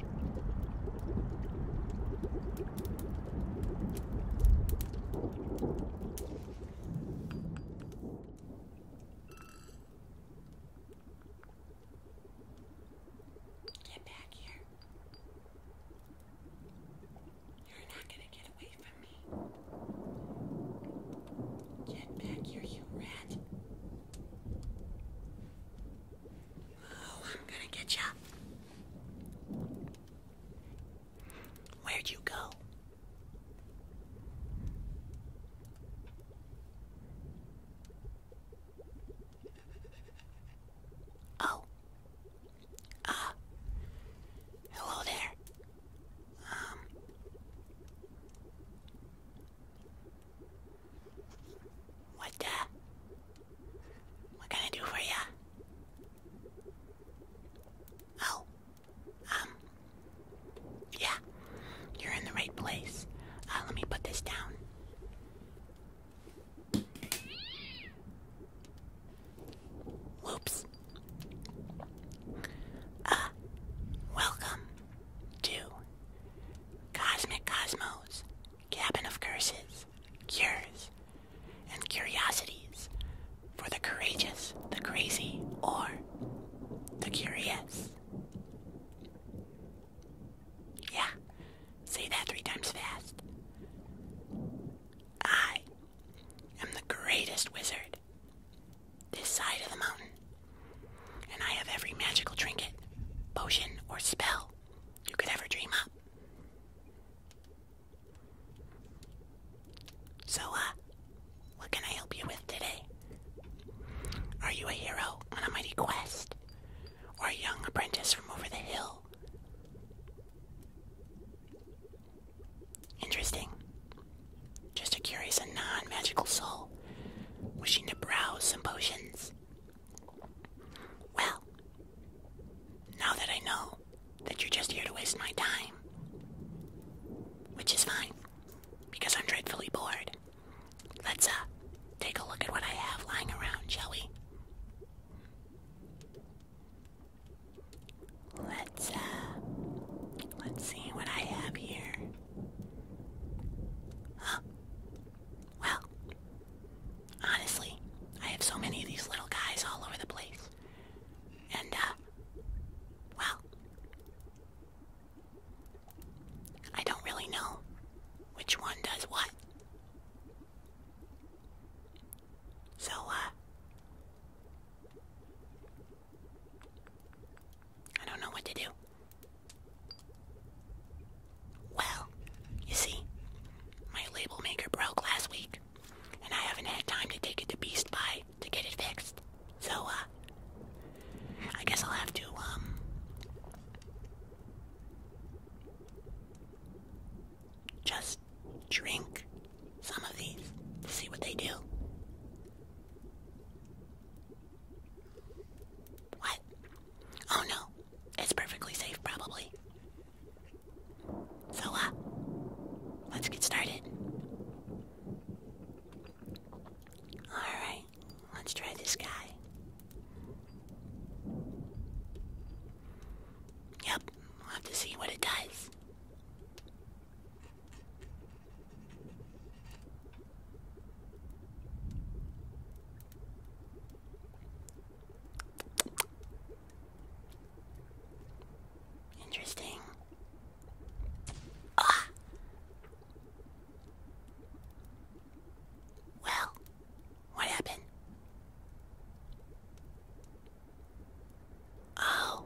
Get back here. You're not going to get away from me. Get back here, you rat. Oh, I'm gonna get ya. Where'd you go? Oh. Ah. hello there. Um. What the? What can I do for you? Oh, um, yeah, you're in the right place. Uh, let me put this down. Whoops. Uh, welcome to Cosmic Cosmos cabin of curses, cures, and curiosities for the courageous, the crazy, or the curious. Yeah, say that three times fast. I am the greatest wizard this side of the mountain. And I have every magical trinket, potion, or spell you could ever dream up. So, uh, what can I help you with today? Are you a hero on a mighty quest? Or a young apprentice from over the hill? Interesting. Just a curious and non magical soul wishing to browse some potions well, now that I know that you're just here to waste my time, which is fine, because I'm dreadfully bored, let's uh take a look at what I have lying around, shall we? Let's uh let's see what I have here. Well, honestly, I have so many of these little guys all over the place. And, uh, well, I don't really know which one does what. So, uh, I don't know what to do. Well, you see, my label maker broke last week, and I haven't had time to take it to Beast Buy to get it fixed. So, uh, I guess I'll have to, um, just drink some of these to see what they do. What? Oh no, it's perfectly safe probably. So, uh, let's get started. Alright, let's try this guy. Yep, we'll have to see what it does. Interesting. Ah. Well, what happened? Oh.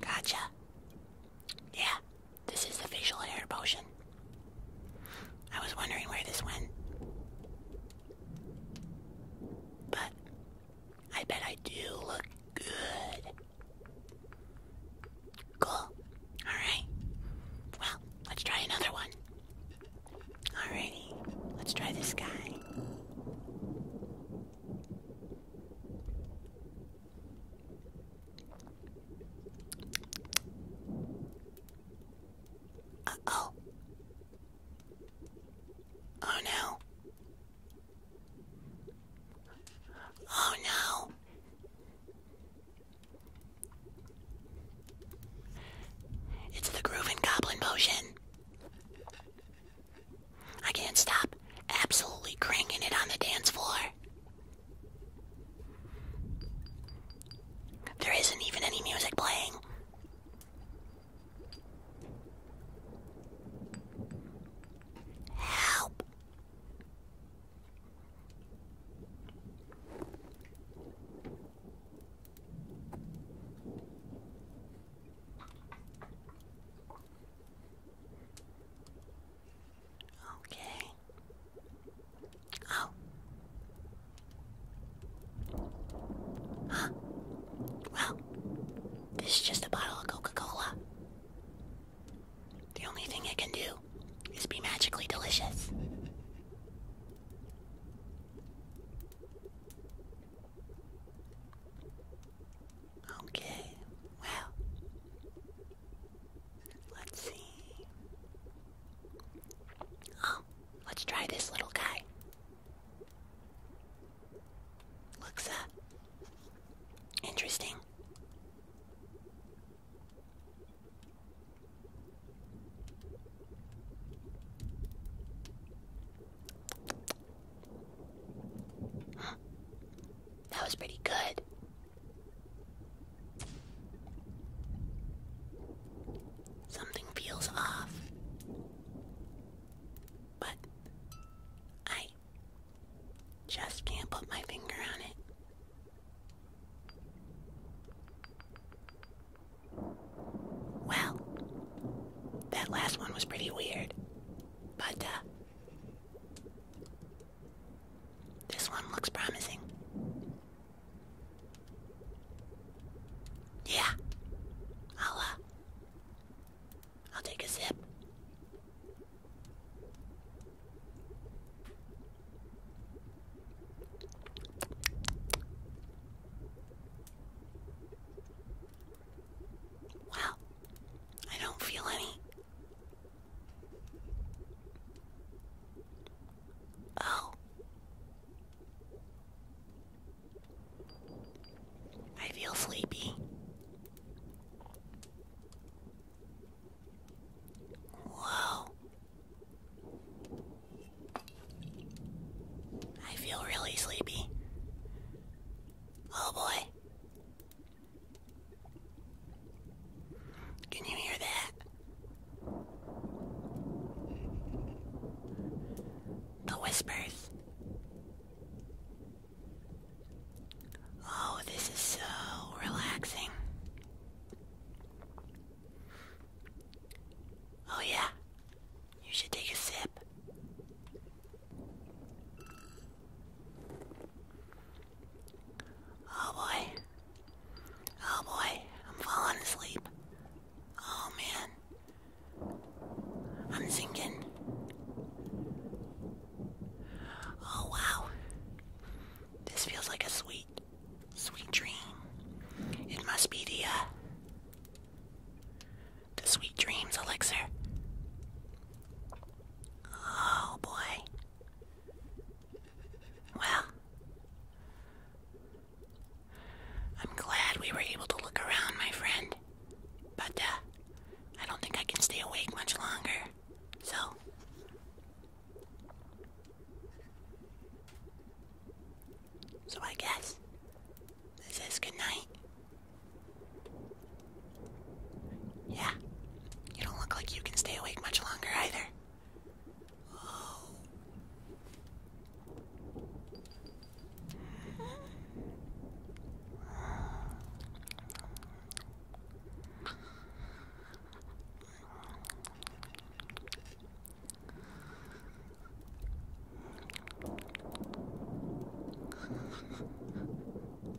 Gotcha. Yeah, this is the facial hair potion. I was wondering where this went. But I bet I do look good. Cool. Alright. Well, let's try another one. Alrighty, let's try this guy oh. Oh no. Oh no. It's the Groovin' Goblin Potion. I can't stop absolutely cranking it on the dance floor. There isn't even any music playing. Help. Okay. Oh. Huh. Well, this is just a bottle of Coca-Cola. The only thing it can do is be magically delicious. Okay, well, Let's see. Oh, let's try this little guy. Looks up. Uh, interesting. That was pretty good. Something feels off. But I just can't put my finger on it. Well, that last one was pretty weird. But, uh, this one looks promising. Yeah. I'll uh, I'll take a sip. Wow. I don't feel any Oh. I feel sleepy. Whoa. I feel really sleepy. Oh boy. Can you hear that? The whispers. Oh, this is so relaxing. Oh, yeah. You should take a sip. Oh boy. Oh boy, I'm falling asleep. Oh man. I'm sinking. Oh wow. This feels like a sweet, sweet dream. It must be the uh, sweet dreams elixir. Oh boy. Well, I'm glad we were able to look around, my friend. But uh, I don't think I can stay awake much longer. So. So I guess this is good night. Yeah. You don't look like you can stay awake much longer either. Oh.